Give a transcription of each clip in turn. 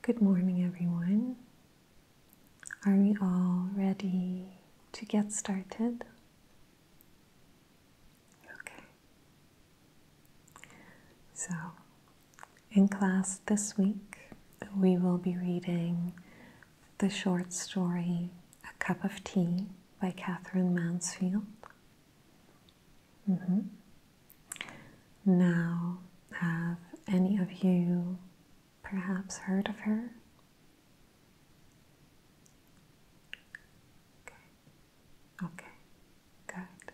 Good morning, everyone. Are we all ready to get started? Okay. So, in class this week, we will be reading the short story A Cup of Tea by Catherine Mansfield. Mm-hmm. Now, have any of you perhaps heard of her? okay, good.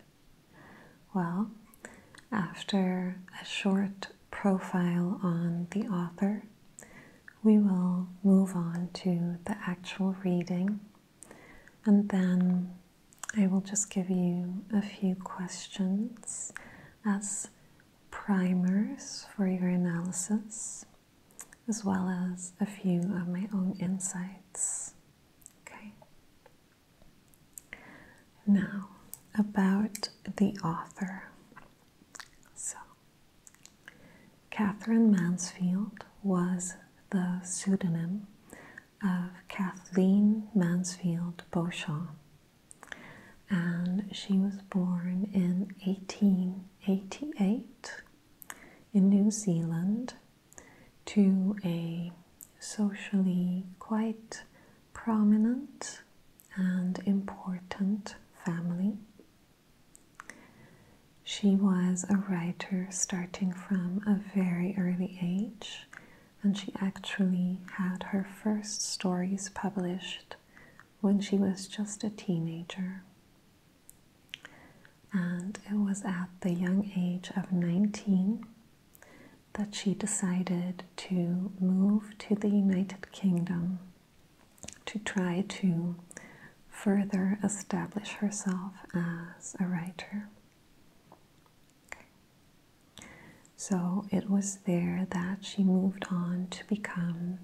Well, after a short profile on the author, we will move on to the actual reading and then I will just give you a few questions as primers for your analysis, as well as a few of my own insights. Okay. Now, about the author. So, Catherine Mansfield was the pseudonym of Kathleen Mansfield Beauchamp. And she was born in 1888 in New Zealand to a socially quite prominent and important family. She was a writer starting from a very early age and she actually had her first stories published when she was just a teenager. And it was at the young age of 19 that she decided to move to the United Kingdom to try to further establish herself as a writer. So it was there that she moved on to become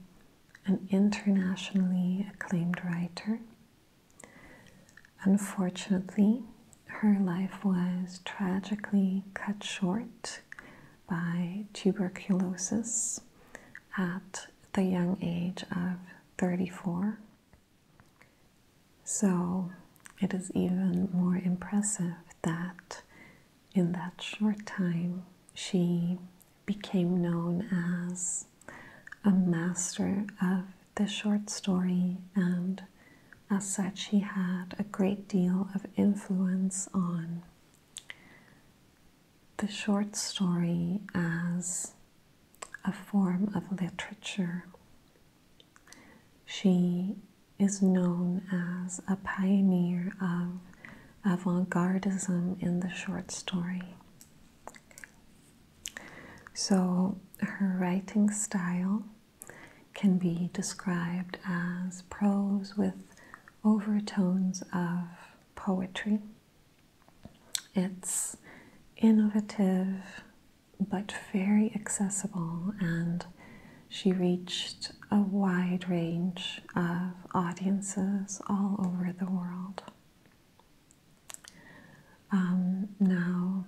an internationally acclaimed writer. Unfortunately, her life was tragically cut short by tuberculosis at the young age of 34. So it is even more impressive that in that short time she became known as a master of the short story, and as such, she had a great deal of influence on the short story as a form of literature. She is known as a pioneer of avant gardism in the short story. So her writing style can be described as prose with overtones of poetry. It's innovative, but very accessible, and she reached a wide range of audiences all over the world. Um, now,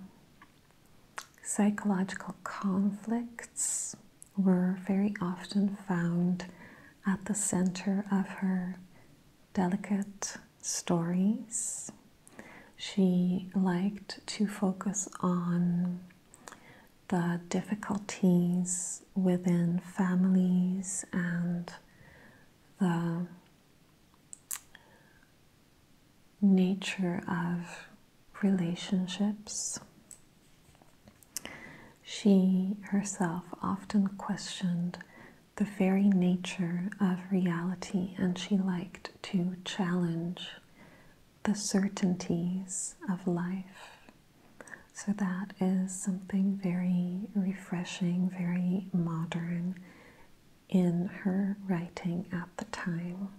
psychological conflicts were very often found at the center of her delicate stories. She liked to focus on the difficulties within families and the nature of relationships. She herself often questioned the very nature of reality, and she liked to challenge the certainties of life. So, that is something very refreshing, very modern in her writing at the time.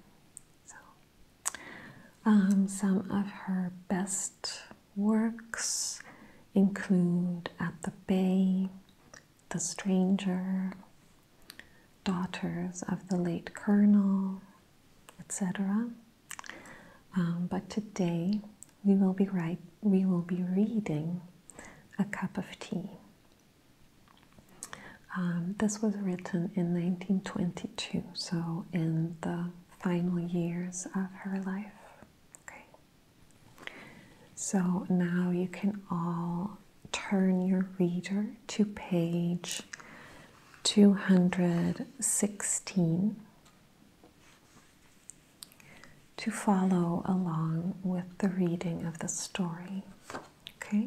So, um, some of her best works include At the Bay, the Stranger, Daughters of the Late Colonel, etc. Um, but today we will be right we will be reading A Cup of Tea. Um, this was written in 1922, so in the final years of her life. Okay. So now you can all turn your reader to page 216 to follow along with the reading of the story. Okay?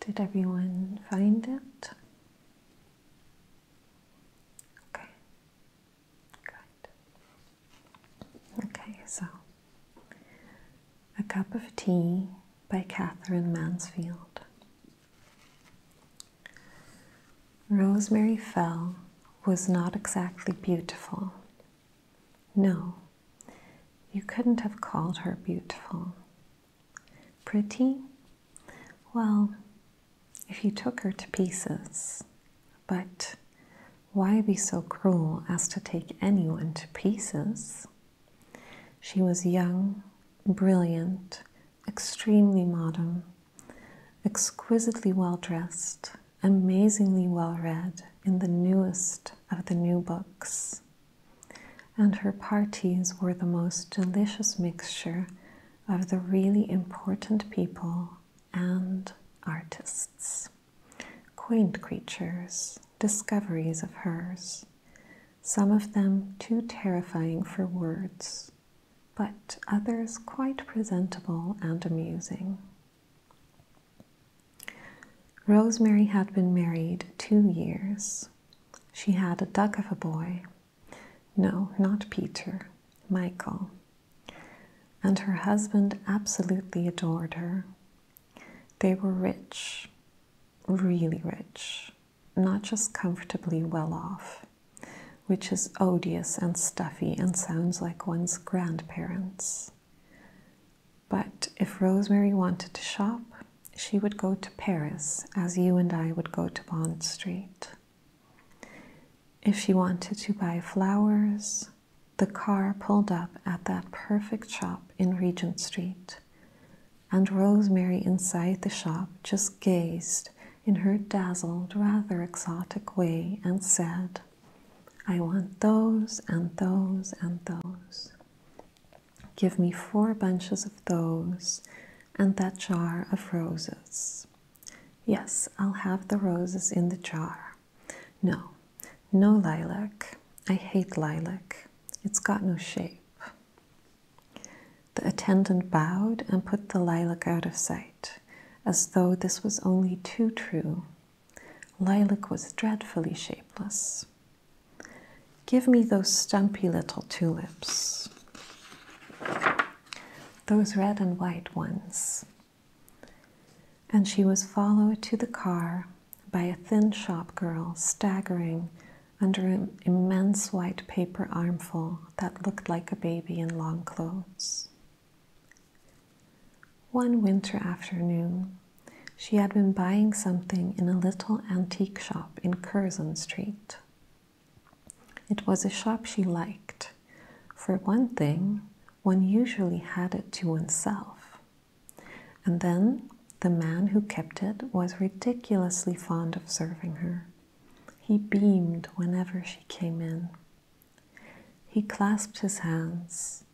Did everyone find it? Okay. Good. Okay, so A Cup of Tea by Catherine Mansfield. Rosemary Fell was not exactly beautiful. No, you couldn't have called her beautiful. Pretty? Well, if you took her to pieces. But why be so cruel as to take anyone to pieces? She was young, brilliant, extremely modern, exquisitely well dressed, amazingly well read in the newest of the new books. And her parties were the most delicious mixture of the really important people and artists, quaint creatures, discoveries of hers, some of them too terrifying for words, but others quite presentable and amusing. Rosemary had been married two years. She had a duck of a boy. No, not Peter, Michael. And her husband absolutely adored her. They were rich, really rich, not just comfortably well off which is odious and stuffy and sounds like one's grandparents. But if Rosemary wanted to shop, she would go to Paris as you and I would go to Bond Street. If she wanted to buy flowers, the car pulled up at that perfect shop in Regent Street, and Rosemary inside the shop just gazed in her dazzled, rather exotic way and said, I want those and those and those. Give me four bunches of those and that jar of roses. Yes, I'll have the roses in the jar. No, no lilac. I hate lilac. It's got no shape. The attendant bowed and put the lilac out of sight, as though this was only too true. Lilac was dreadfully shapeless. Give me those stumpy little tulips, those red and white ones. And she was followed to the car by a thin shop girl staggering under an immense white paper armful that looked like a baby in long clothes. One winter afternoon, she had been buying something in a little antique shop in Curzon Street. It was a shop she liked. For one thing, one usually had it to oneself. And then the man who kept it was ridiculously fond of serving her. He beamed whenever she came in. He clasped his hands.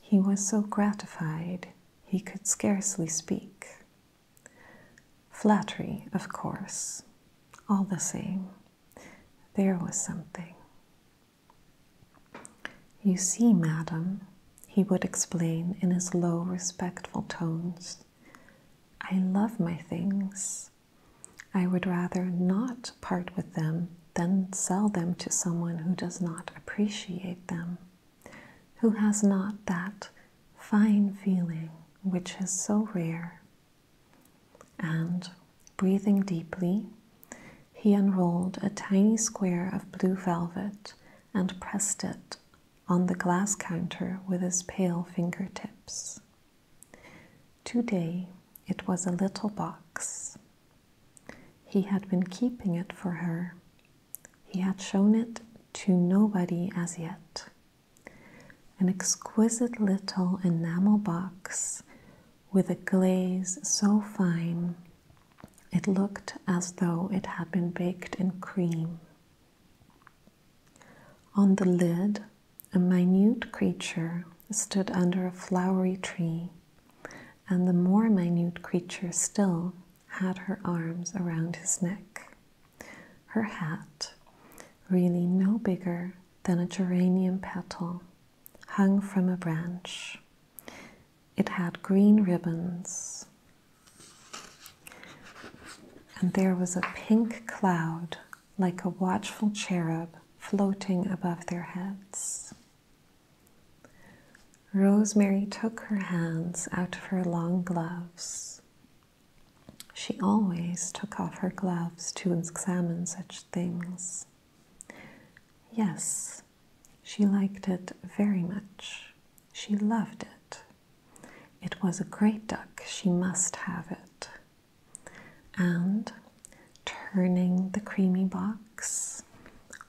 He was so gratified he could scarcely speak. Flattery, of course. All the same, there was something. You see, madam, he would explain in his low, respectful tones, I love my things. I would rather not part with them than sell them to someone who does not appreciate them, who has not that fine feeling which is so rare. And breathing deeply, he unrolled a tiny square of blue velvet and pressed it on the glass counter with his pale fingertips. Today it was a little box. He had been keeping it for her. He had shown it to nobody as yet. An exquisite little enamel box with a glaze so fine it looked as though it had been baked in cream. On the lid, a minute creature stood under a flowery tree, and the more minute creature still had her arms around his neck. Her hat, really no bigger than a geranium petal, hung from a branch. It had green ribbons, and there was a pink cloud like a watchful cherub floating above their heads. Rosemary took her hands out of her long gloves. She always took off her gloves to examine such things. Yes, she liked it very much. She loved it. It was a great duck. She must have it and turning the creamy box,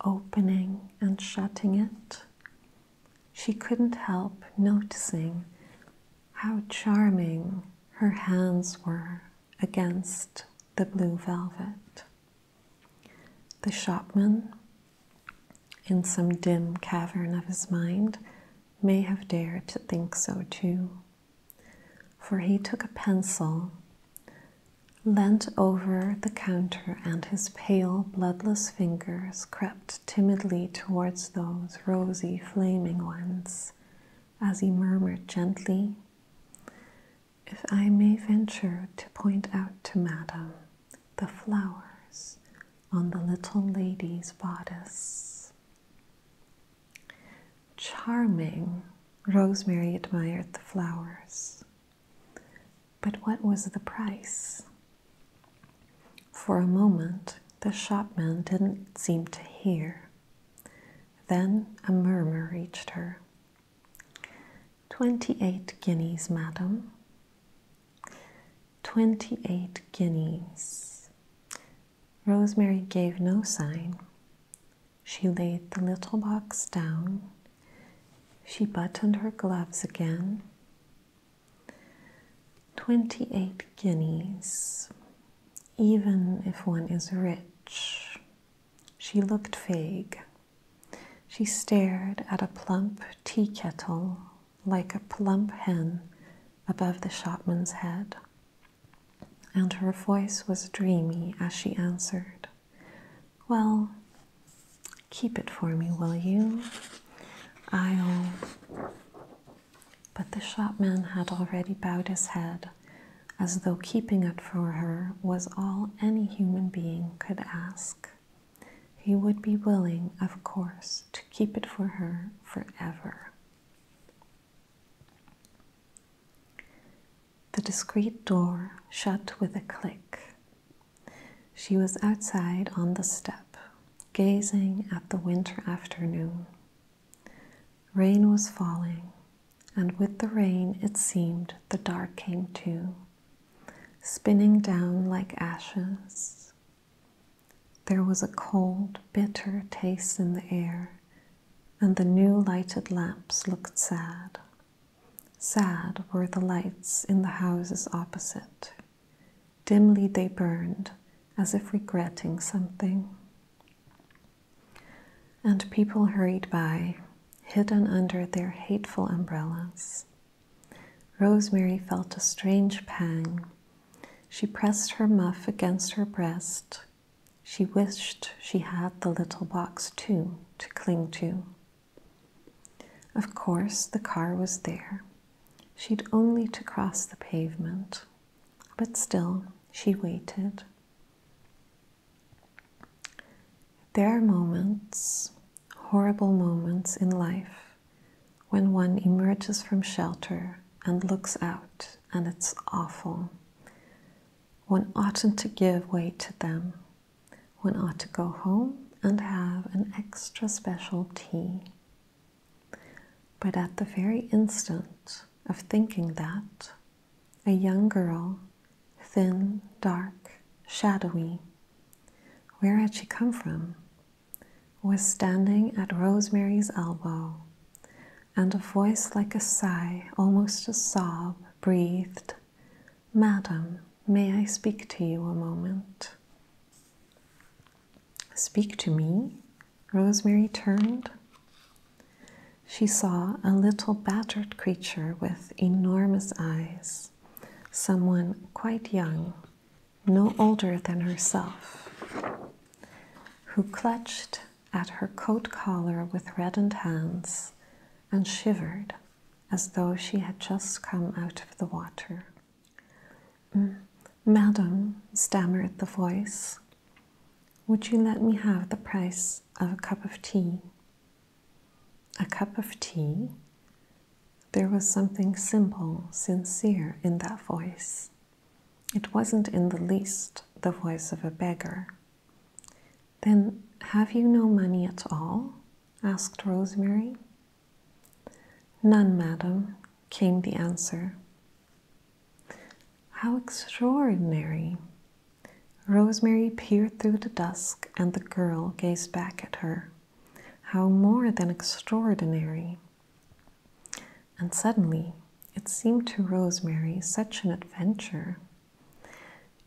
opening and shutting it, she couldn't help noticing how charming her hands were against the blue velvet. The shopman, in some dim cavern of his mind, may have dared to think so too, for he took a pencil, leant over the counter, and his pale, bloodless fingers crept timidly towards those rosy, flaming ones as he murmured gently, If I may venture to point out to Madam the flowers on the little lady's bodice. Charming, Rosemary admired the flowers. But what was the price? For a moment, the shopman didn't seem to hear. Then a murmur reached her. Twenty eight guineas, madam. Twenty eight guineas. Rosemary gave no sign. She laid the little box down. She buttoned her gloves again. Twenty eight guineas, even if one is rich. She looked vague. She stared at a plump tea kettle like a plump hen above the shopman's head, and her voice was dreamy as she answered, Well, keep it for me, will you? I'll. But the shopman had already bowed his head, as though keeping it for her was all any human being could ask. He would be willing, of course, to keep it for her forever. The discreet door shut with a click. She was outside on the step, gazing at the winter afternoon. Rain was falling, and with the rain it seemed the dark came too, spinning down like ashes, there was a cold, bitter taste in the air, and the new lighted lamps looked sad. Sad were the lights in the houses opposite. Dimly they burned, as if regretting something. And people hurried by, hidden under their hateful umbrellas. Rosemary felt a strange pang she pressed her muff against her breast. She wished she had the little box too to cling to. Of course, the car was there. She'd only to cross the pavement, but still she waited. There are moments, horrible moments in life, when one emerges from shelter and looks out, and it's awful. One oughtn't to give way to them. One ought to go home and have an extra special tea. But at the very instant of thinking that, a young girl, thin, dark, shadowy, where had she come from? was standing at Rosemary's elbow, and a voice like a sigh, almost a sob, breathed, Madam, may I speak to you a moment? Speak to me? Rosemary turned. She saw a little battered creature with enormous eyes, someone quite young, no older than herself, who clutched at her coat collar with reddened hands and shivered as though she had just come out of the water. Madam, stammered the voice, would you let me have the price of a cup of tea? A cup of tea? There was something simple, sincere in that voice. It wasn't in the least the voice of a beggar. Then have you no money at all? asked Rosemary. None, madam, came the answer. How extraordinary! Rosemary peered through the dusk, and the girl gazed back at her. How more than extraordinary! And suddenly, it seemed to Rosemary such an adventure.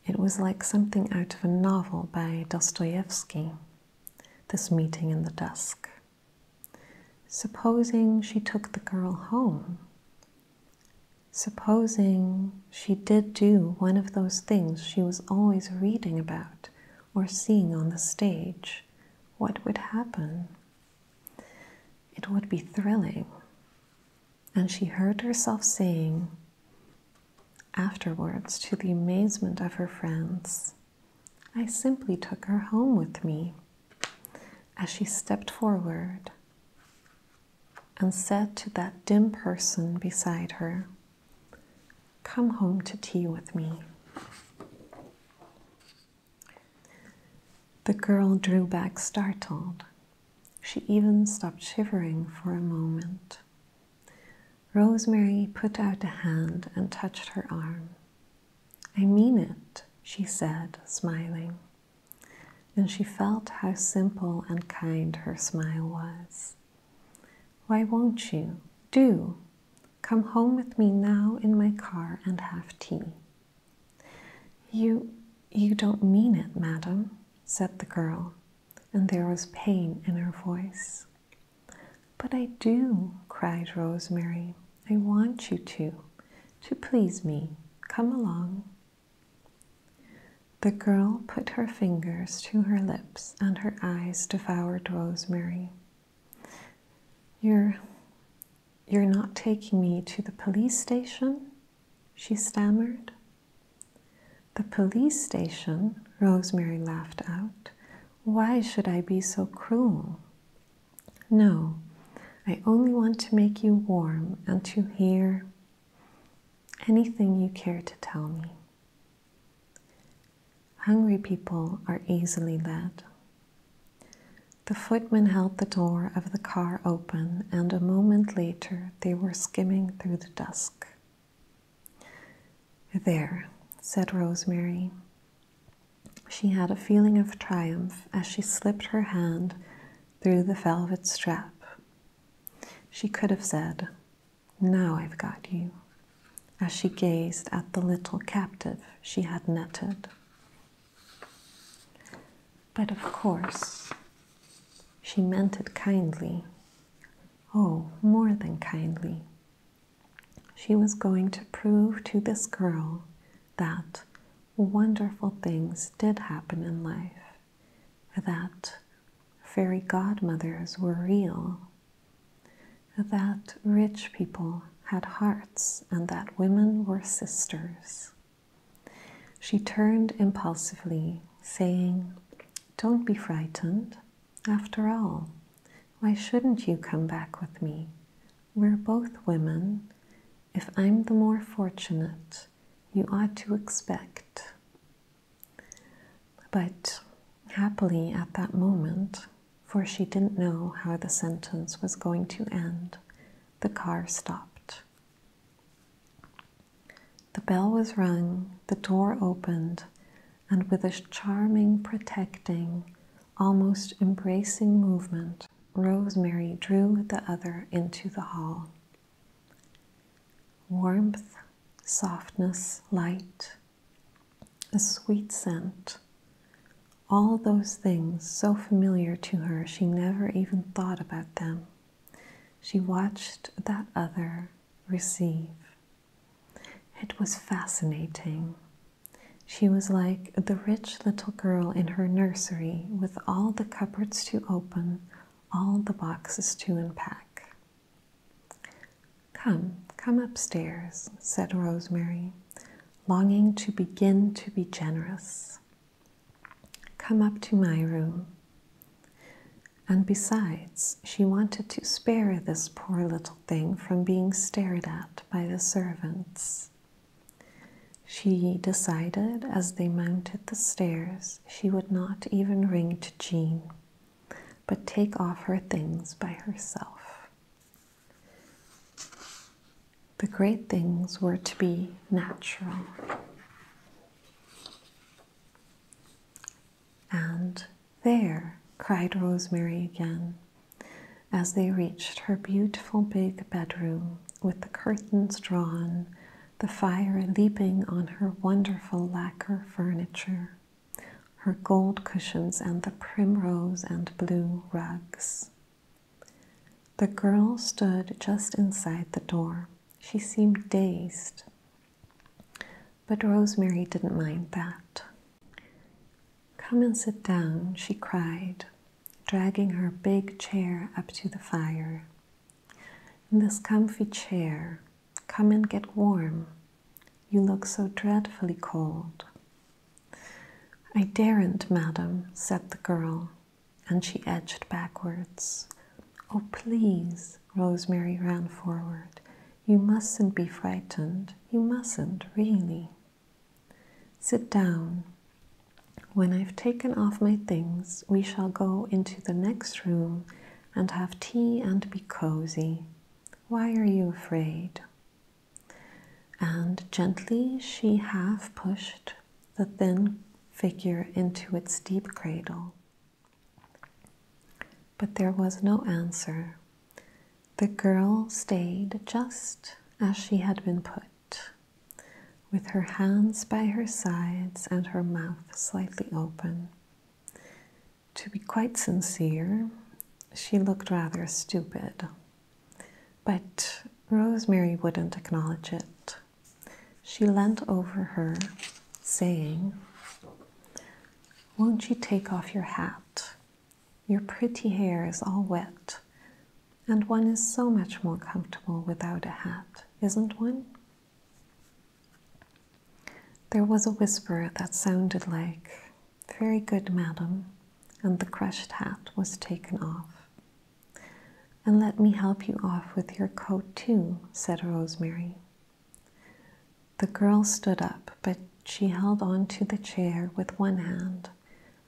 It was like something out of a novel by Dostoevsky, this meeting in the dusk. Supposing she took the girl home. Supposing she did do one of those things she was always reading about or seeing on the stage, what would happen? It would be thrilling. And she heard herself saying, afterwards, to the amazement of her friends, I simply took her home with me as she stepped forward and said to that dim person beside her, Come home to tea with me. The girl drew back startled. She even stopped shivering for a moment. Rosemary put out a hand and touched her arm. I mean it, she said, smiling. And she felt how simple and kind her smile was. Why won't you? Do! Come home with me now in my car and have tea. You, you don't mean it, madam, said the girl, and there was pain in her voice. But I do, cried Rosemary. I want you to, to please me. Come along. The girl put her fingers to her lips and her eyes devoured Rosemary. You're you're not taking me to the police station? she stammered. The police station? Rosemary laughed out. Why should I be so cruel? No, I only want to make you warm and to hear anything you care to tell me. Hungry people are easily led. The footman held the door of the car open, and a moment later they were skimming through the dusk. There, said Rosemary. She had a feeling of triumph as she slipped her hand through the velvet strap. She could have said, Now I've got you, as she gazed at the little captive she had netted. But of course, she meant it kindly. Oh, more than kindly. She was going to prove to this girl that wonderful things did happen in life, that fairy godmothers were real, that rich people had hearts and that women were sisters. She turned impulsively, saying, Don't be frightened. After all, why shouldn't you come back with me? We're both women. If I'm the more fortunate, you ought to expect. But happily, at that moment, for she didn't know how the sentence was going to end, the car stopped. The bell was rung, the door opened, and with a charming, protecting, almost embracing movement, Rosemary drew the other into the hall. Warmth, softness, light, a sweet scent. All those things so familiar to her, she never even thought about them. She watched that other receive. It was fascinating. She was like the rich little girl in her nursery with all the cupboards to open, all the boxes to unpack. Come, come upstairs, said Rosemary longing to begin to be generous. Come up to my room. And besides, she wanted to spare this poor little thing from being stared at by the servants. She decided as they mounted the stairs she would not even ring to Jean, but take off her things by herself. The great things were to be natural and there, cried Rosemary again, as they reached her beautiful big bedroom with the curtains drawn, the fire leaping on her wonderful lacquer furniture, her gold cushions and the primrose and blue rugs. The girl stood just inside the door. She seemed dazed, but Rosemary didn't mind that. Come and sit down, she cried, dragging her big chair up to the fire. In this comfy chair, come and get warm. You look so dreadfully cold. I daren't, madam, said the girl, and she edged backwards. Oh, please, Rosemary ran forward. You mustn't be frightened. You mustn't, really. Sit down. When I've taken off my things, we shall go into the next room and have tea and be cozy. Why are you afraid? and gently she half pushed the thin figure into its deep cradle. But there was no answer. The girl stayed just as she had been put, with her hands by her sides and her mouth slightly open. To be quite sincere, she looked rather stupid but Rosemary wouldn't acknowledge it. She leant over her, saying, Won't you take off your hat? Your pretty hair is all wet, and one is so much more comfortable without a hat, isn't one? There was a whisper that sounded like, very good, madam. And the crushed hat was taken off. And let me help you off with your coat, too, said Rosemary. The girl stood up, but she held on to the chair with one hand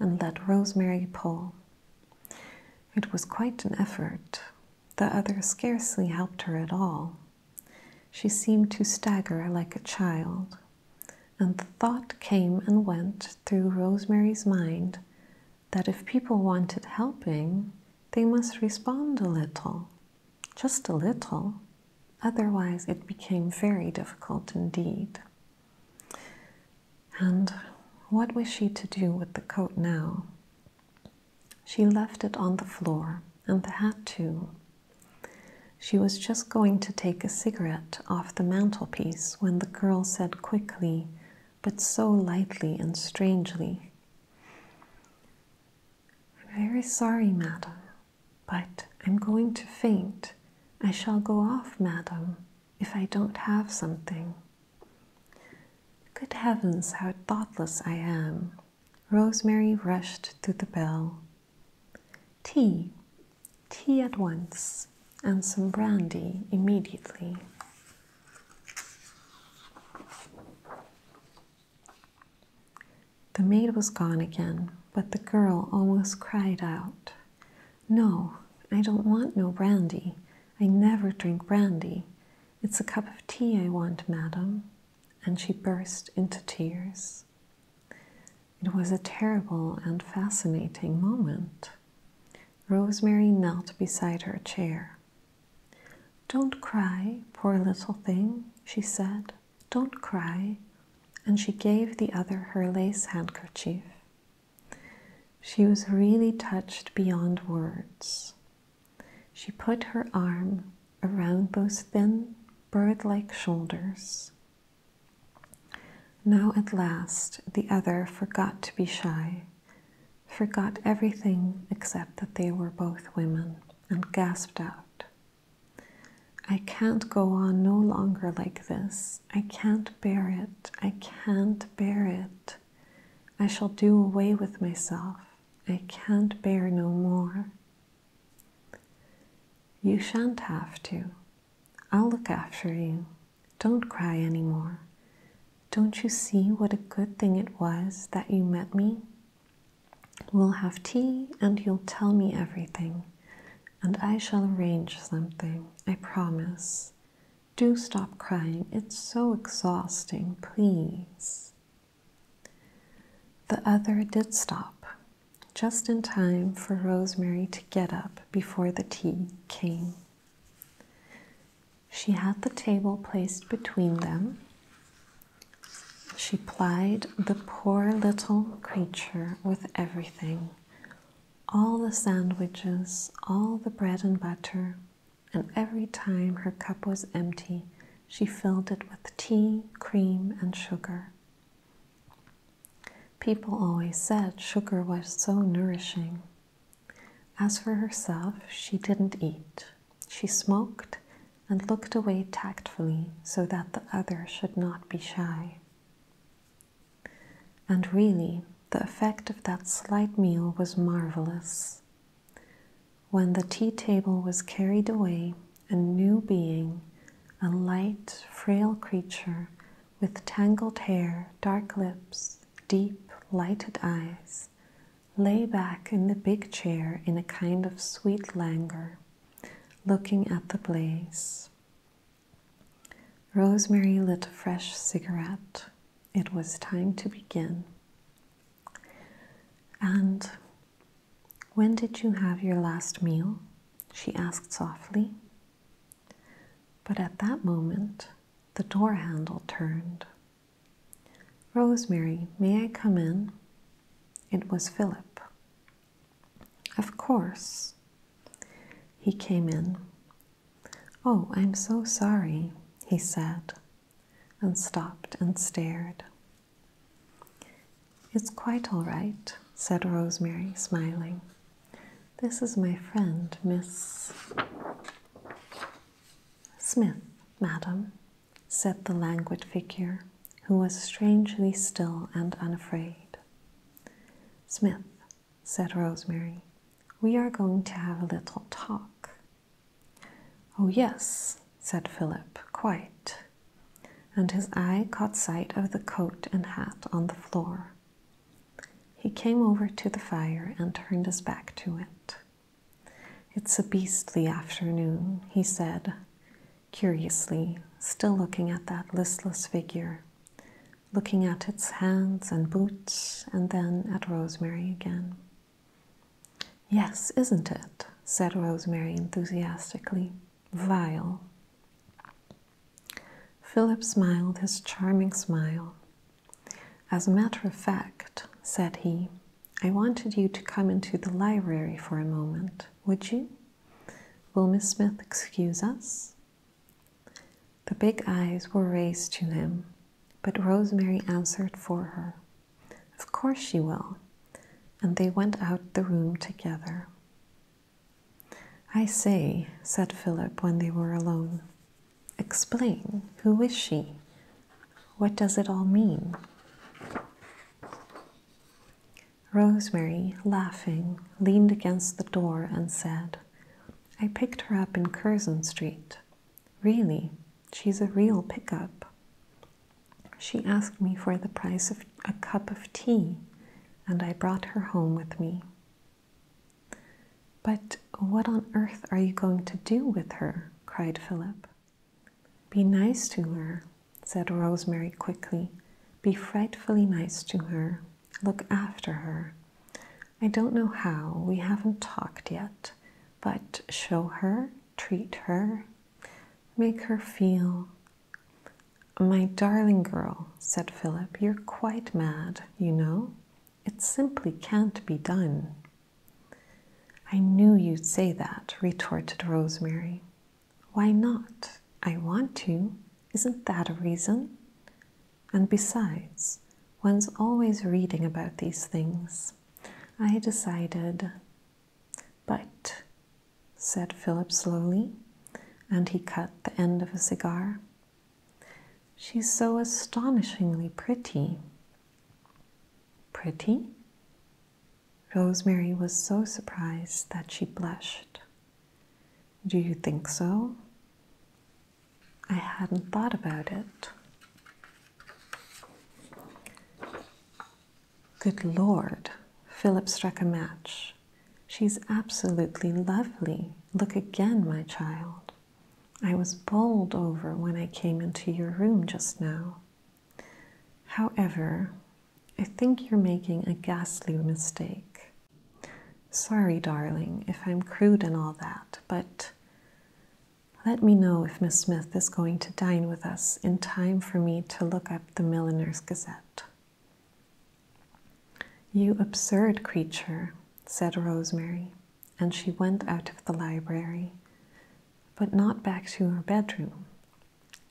and let Rosemary pull. It was quite an effort. The other scarcely helped her at all. She seemed to stagger like a child. And the thought came and went through Rosemary's mind that if people wanted helping, they must respond a little, just a little, otherwise, it became very difficult indeed. And what was she to do with the coat now? She left it on the floor, and the hat too, she was just going to take a cigarette off the mantelpiece when the girl said quickly, but so lightly and strangely, very sorry, madam, but I'm going to faint. I shall go off, madam, if I don't have something. Good heavens, how thoughtless I am! Rosemary rushed to the bell, Tea, tea at once, and some brandy immediately. The maid was gone again, but the girl almost cried out, No, I don't want no brandy. I never drink brandy. It's a cup of tea I want, madam. And she burst into tears. It was a terrible and fascinating moment. Rosemary knelt beside her chair. Don't cry, poor little thing, she said. Don't cry. And she gave the other her lace handkerchief. She was really touched beyond words. She put her arm around those thin, bird like shoulders now at last the other forgot to be shy, forgot everything except that they were both women, and gasped out, I can't go on no longer like this. I can't bear it. I can't bear it. I shall do away with myself. I can't bear no more. You shan't have to, I'll look after you. Don't cry any more. Don't you see what a good thing it was that you met me? We'll have tea and you'll tell me everything, and I shall arrange something, I promise. Do stop crying, it's so exhausting, please. The other did stop, just in time for Rosemary to get up before the tea came. She had the table placed between them. She plied the poor little creature with everything all the sandwiches, all the bread and butter, and every time her cup was empty, she filled it with tea, cream, and sugar. People always said sugar was so nourishing. As for herself, she didn't eat. She smoked and looked away tactfully so that the other should not be shy. And really, the effect of that slight meal was marvelous. When the tea table was carried away, a new being, a light, frail creature with tangled hair, dark lips, deep, lighted eyes, lay back in the big chair in a kind of sweet languor, looking at the blaze. Rosemary lit a fresh cigarette. It was time to begin. And when did you have your last meal? she asked softly. But at that moment, the door handle turned. Rosemary, may I come in? It was Philip. Of course. He came in. Oh, I'm so sorry, he said, and stopped and stared. It's quite all right, said Rosemary, smiling. This is my friend, Miss Smith, madam, said the languid figure, who was strangely still and unafraid. Smith, said Rosemary, we are going to have a little talk. Oh, yes, said Philip, quite and his eye caught sight of the coat and hat on the floor. He came over to the fire and turned his back to it. It's a beastly afternoon, he said, curiously, still looking at that listless figure, looking at its hands and boots, and then at Rosemary again. Yes, isn't it? said Rosemary enthusiastically. Vile, Philip smiled his charming smile. As a matter of fact, said he, I wanted you to come into the library for a moment, would you? Will Miss Smith excuse us? The big eyes were raised to him, but Rosemary answered for her. Of course she will. And they went out the room together. I say, said Philip when they were alone, explain. Who is she? What does it all mean? Rosemary, laughing, leaned against the door and said, I picked her up in Curzon Street. Really, she's a real pick-up. She asked me for the price of a cup of tea, and I brought her home with me. But what on earth are you going to do with her? cried Philip. Be nice to her, said Rosemary quickly. Be frightfully nice to her. Look after her. I don't know how, we haven't talked yet, but show her, treat her, make her feel my darling girl, said Philip, you're quite mad, you know. It simply can't be done. I knew you'd say that, retorted Rosemary. Why not? I want to. Isn't that a reason? And besides, one's always reading about these things. I decided but, said Philip slowly, and he cut the end of a cigar, she's so astonishingly pretty. Pretty? Rosemary was so surprised that she blushed. Do you think so? I hadn't thought about it. Good Lord, Philip struck a match. She's absolutely lovely. Look again, my child. I was bowled over when I came into your room just now. However, I think you're making a ghastly mistake. Sorry, darling, if I'm crude and all that, but let me know if Miss Smith is going to dine with us in time for me to look up the Milliner's Gazette. You absurd creature, said Rosemary, and she went out of the library, but not back to her bedroom.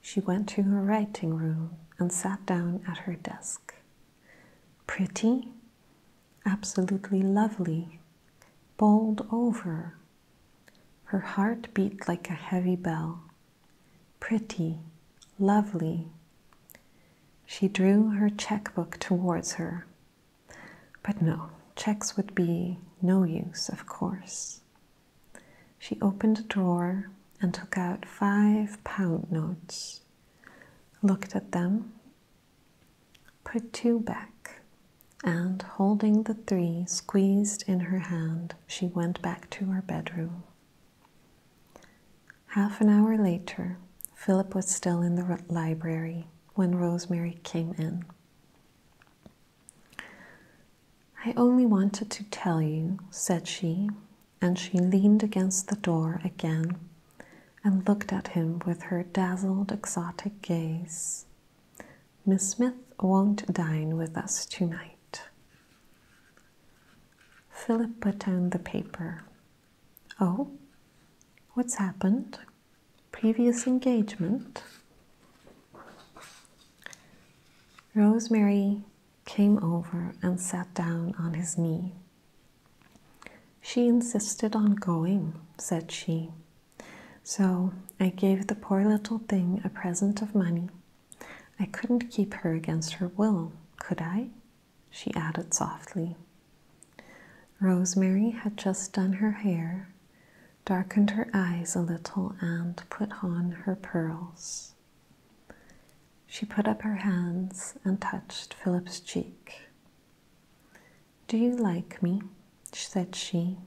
She went to her writing room and sat down at her desk. Pretty, absolutely lovely, bowled over. Her heart beat like a heavy bell, Pretty, lovely. She drew her checkbook towards her. But no, checks would be no use, of course. She opened a drawer and took out five pound notes, looked at them, put two back, and holding the three squeezed in her hand, she went back to her bedroom. Half an hour later, Philip was still in the library when Rosemary came in. I only wanted to tell you, said she, and she leaned against the door again and looked at him with her dazzled, exotic gaze. Miss Smith won't dine with us tonight, Philip put down the paper. Oh, what's happened? Previous engagement? Rosemary came over and sat down on his knee. She insisted on going, said she. So I gave the poor little thing a present of money I couldn't keep her against her will, could I? she added softly. Rosemary had just done her hair, darkened her eyes a little, and put on her pearls. She put up her hands and touched Philip's cheek. Do you like me? said she,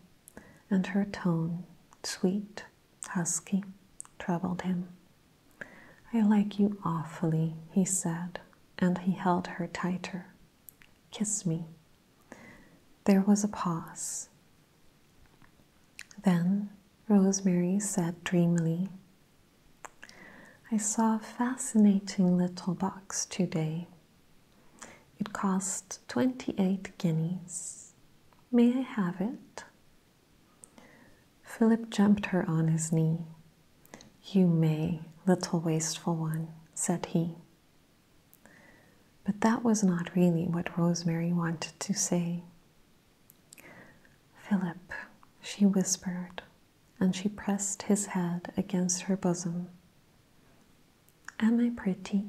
and her tone, sweet husky troubled him. I like you awfully, he said, and he held her tighter. Kiss me. There was a pause. Then Rosemary said dreamily, I saw a fascinating little box today. It cost 28 guineas. May I have it? Philip jumped her on his knee. You may, little wasteful one, said he. But that was not really what Rosemary wanted to say. Philip, she whispered, and she pressed his head against her bosom. Am I pretty?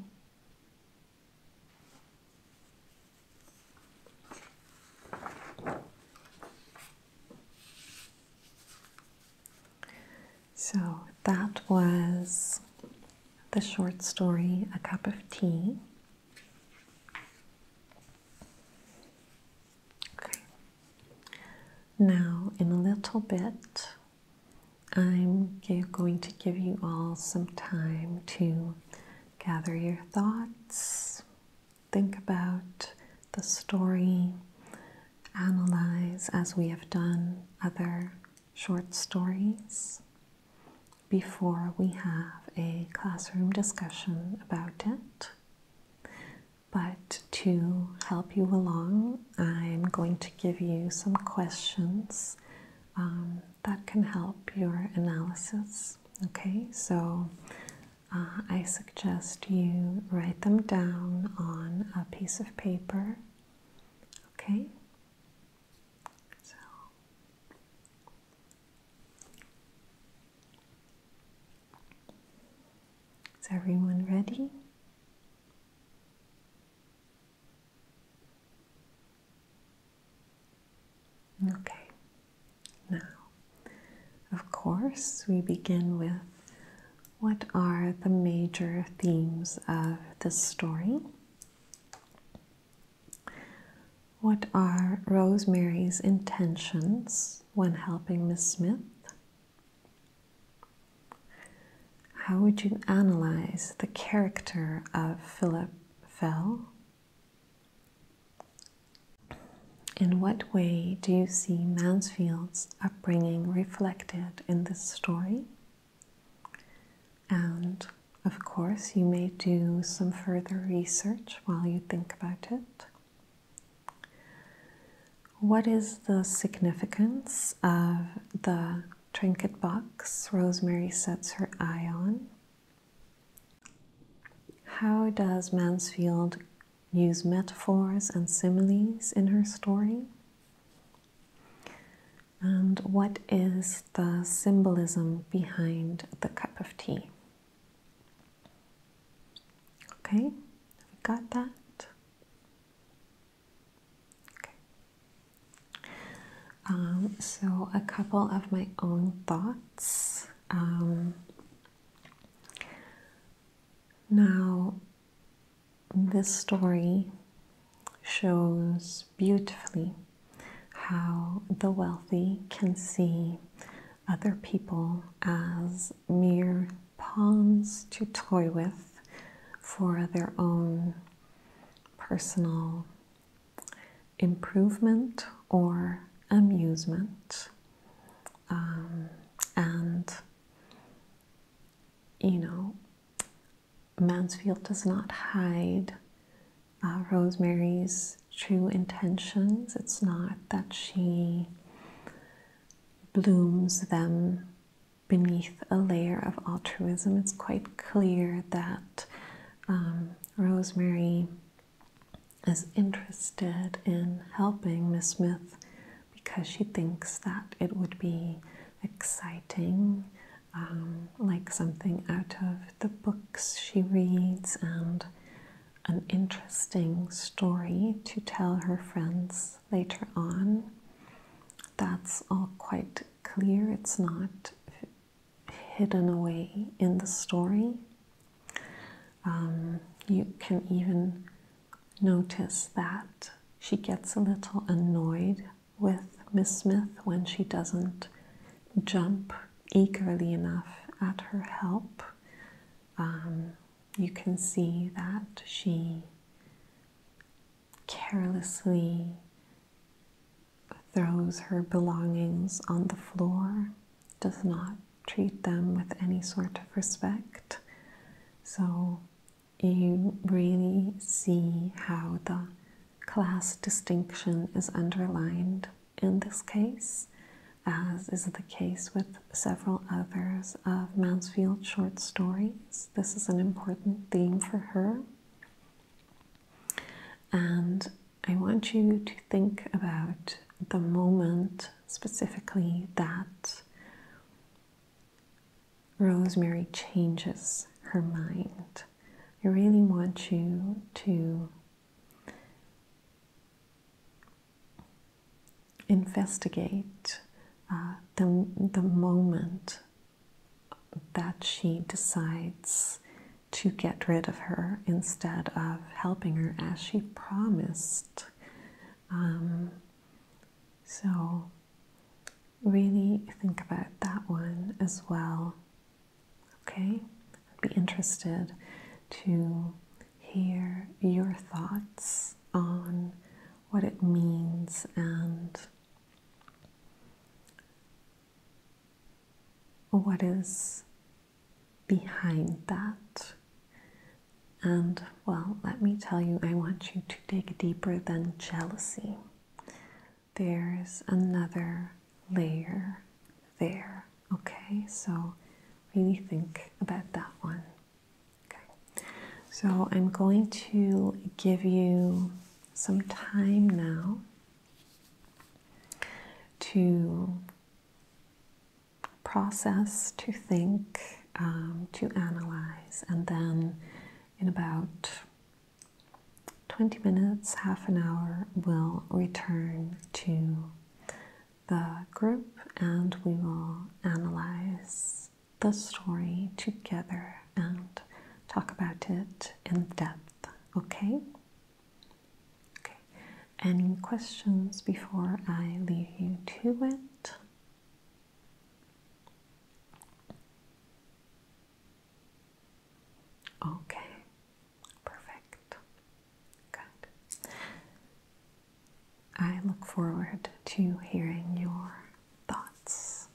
So that was the short story, A Cup of Tea. Okay. Now, in a little bit, I'm going to give you all some time to gather your thoughts, think about the story, analyze as we have done other short stories before we have a classroom discussion about it. But to help you along, I'm going to give you some questions um, that can help your analysis. Okay, so uh, I suggest you write them down on a piece of paper. Okay, so. Is everyone ready? Okay, now, of course, we begin with what are the major themes of this story? What are Rosemary's intentions when helping Miss Smith? How would you analyze the character of Philip Fell? In what way do you see Mansfield's upbringing reflected in this story? And of course, you may do some further research while you think about it. What is the significance of the trinket box Rosemary sets her eye on how does Mansfield use metaphors and similes in her story? And what is the symbolism behind the cup of tea? Okay, we got that. Um, so, a couple of my own thoughts. Um, now, this story shows beautifully how the wealthy can see other people as mere pawns to toy with for their own personal improvement or amusement, um, and you know, Mansfield does not hide uh, Rosemary's true intentions. It's not that she blooms them beneath a layer of altruism. It's quite clear that um, Rosemary is interested in helping Miss Smith because she thinks that it would be exciting, um, like something out of the books she reads, and an interesting story to tell her friends later on. That's all quite clear. It's not hidden away in the story. Um, you can even notice that she gets a little annoyed with Miss Smith when she doesn't jump eagerly enough at her help. Um, you can see that she carelessly throws her belongings on the floor, does not treat them with any sort of respect. So you really see how the class distinction is underlined in this case, as is the case with several others of Mansfield's short stories. This is an important theme for her. And I want you to think about the moment specifically that Rosemary changes her mind. I really want you to investigate uh, the, the moment that she decides to get rid of her instead of helping her as she promised. Um, so, really think about that one as well. Okay? I'd be interested to hear your thoughts on what it means and what is behind that. And well, let me tell you, I want you to dig deeper than jealousy. There's another layer there, okay? So really think about that one. Okay, so I'm going to give you some time now to process, to think, um, to analyze, and then in about 20 minutes, half an hour, we'll return to the group and we will analyze the story together and talk about it in depth, okay? Okay, any questions before I leave you to it? Okay, perfect. Good. I look forward to hearing your thoughts.